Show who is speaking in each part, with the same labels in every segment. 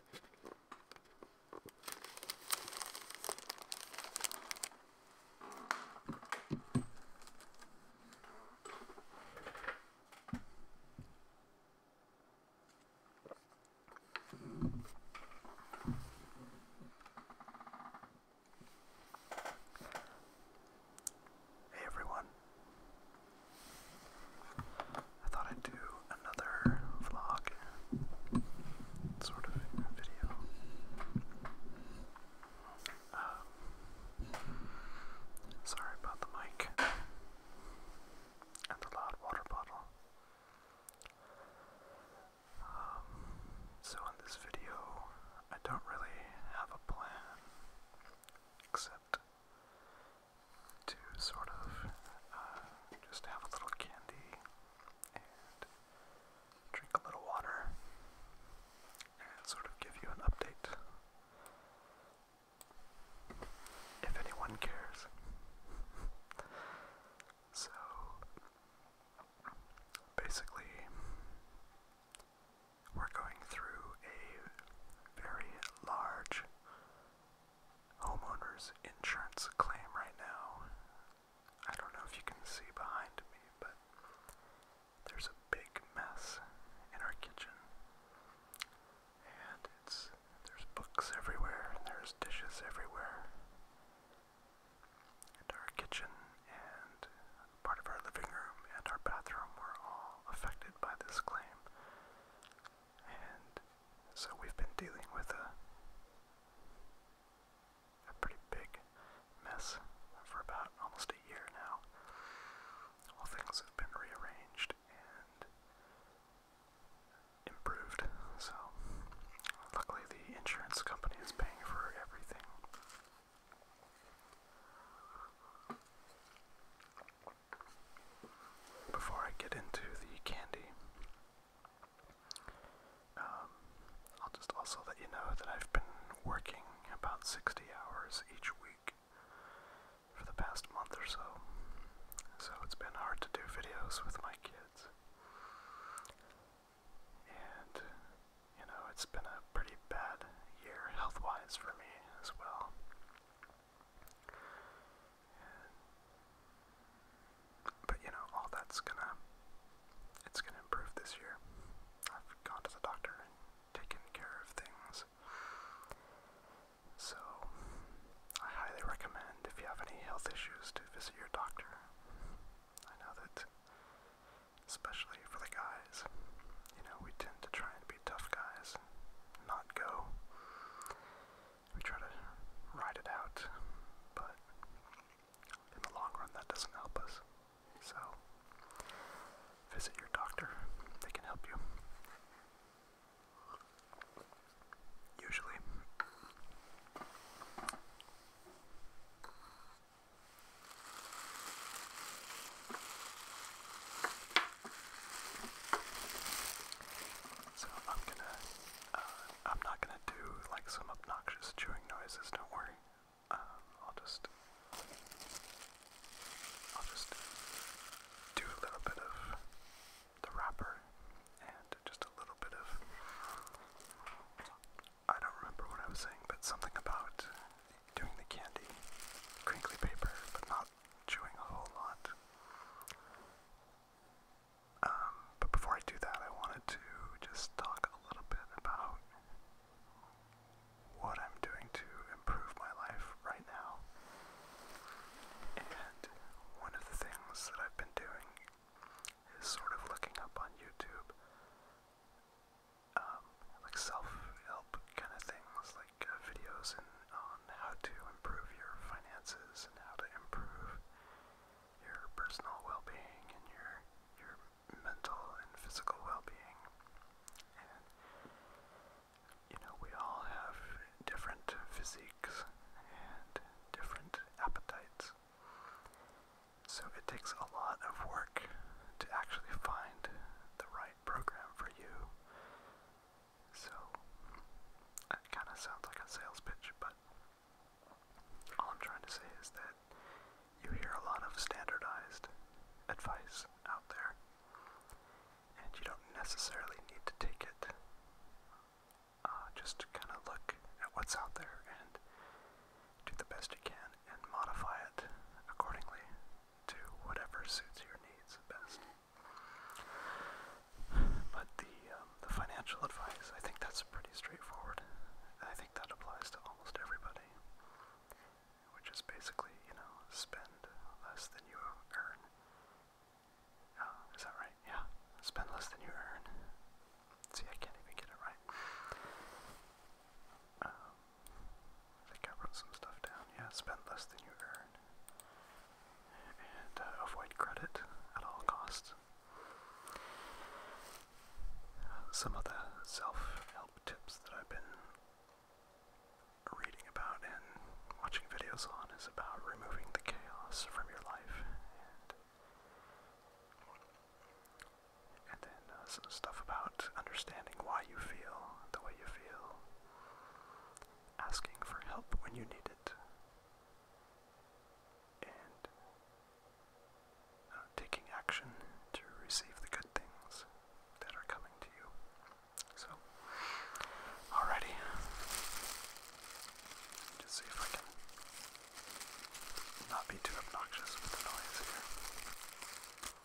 Speaker 1: Hey everyone, I thought I'd do another vlog sort of video. Um, sorry about the mic and the loud water bottle. Um, so, in this video, I don't really have a plan except to sort of uh, just have a little candy and drink a little water and sort of give you an update. If anyone cares. so, basically, we're going through a very large homeowner's insurance claim right now. I don't know if you can see behind me, but there's a big mess in our kitchen. And it's there's books everywhere and there's dishes everywhere. And our kitchen and part of our living room and our bathroom were all affected by this claim. And so we've been dealing with a pretty big mess for about almost a year now. All things have been rearranged and improved. So luckily the insurance company is paying for everything before I get into the candy, um, I'll just also let you know that I've been working about 60 hours each week for the past month or so, so it's been hard to do videos with my kids. And, you know, it's been a pretty bad year health wise for me as well. But you know, all that's gonna it's gonna improve this year. I've gone to the doctor and taken care of things. So I highly recommend if you have any health issues to visit your doctor. I know that especially for the guy you know, we tend to try and be tough guys not go. We try to ride it out, but in the long run, that doesn't help us. So, visit your doctor, they can help you. Usually. So I'm gonna, uh, I'm not gonna do like some obnoxious chewing noises. Don't worry. Um, I'll just, I'll just do a little bit of the wrapper and just a little bit of. I don't remember what I was saying, but something about doing the candy crinkly paper, but not chewing a whole lot. Um, but before I do that, I wanted to just talk a little bit about what I'm doing to improve my life right now. And one of the things that I've been doing is sort of looking up on YouTube um, like self-help kind of things, like uh, videos in, on how to improve your finances and how to improve your personal well-being and your your mental and physical well-being. And you know, we all have different physiques and different appetites. So it takes a lot of work to actually find the right right program for you. So, that kind of sounds like a sales pitch, but all I'm trying to say is that you hear a lot of standardized advice out there, and you don't necessarily need to take it. Uh, just kind of look at what's out there and do the best you can and modify it accordingly to whatever suits your needs best. But the um, the financial advice, I think that's pretty straightforward. I think that applies to almost everybody, which is basically you know spend less than you earn. Uh, is that right? Yeah, spend less than you earn. See, I can't even get it right. Um, I wrote some stuff down. Yeah, spend less than you earn. And uh, avoid credit at all costs. Some of the self-help tips that I've been reading about and watching videos on is about removing the chaos from your life and then uh, some stuff about understanding why you feel the way you feel, asking for help when you need it, and uh, taking action to receive the good things that are coming to you. So, alrighty. Just see if I can not be too obnoxious with the noise here.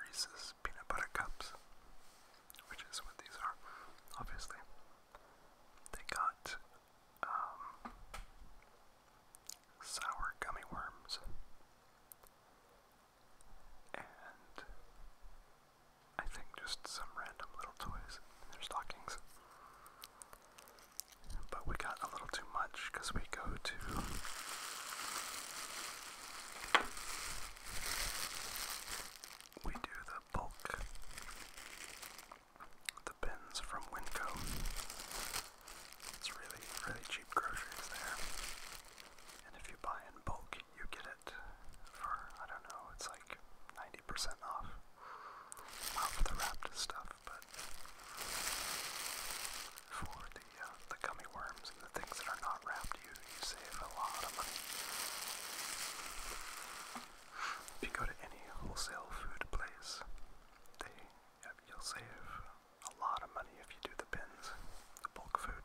Speaker 1: Reese's peanut butter cups, which is what these are, obviously. They got um, sour gummy worms, and I think just some random little toys in their stockings. But we got a little too much because we go to we do the bulk the bins from Winco. It's really really cheap groceries there, and if you buy in bulk, you get it for I don't know. It's like ninety percent off. Not the wrapped stuff, but for the uh, the gummy worms and the things that are not wrapped, you, you save a lot of money. If you go to any wholesale food place, they uh, you'll save a lot of money if you do the bins, the bulk food.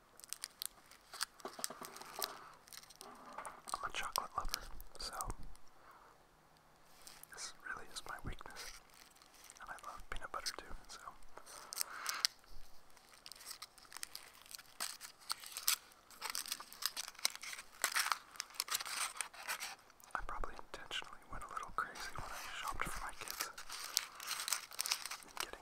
Speaker 1: I'm a chocolate lover, so this really is my weakness. And I love peanut butter too, so. I probably intentionally went a little crazy when I shopped for my kids. getting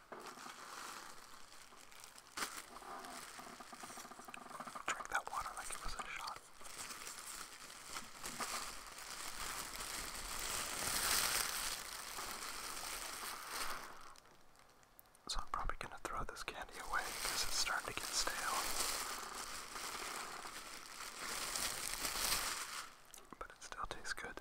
Speaker 1: Drink that water like it was a shot. So I'm probably gonna throw this candy away because it's starting to get stale. But it still tastes good.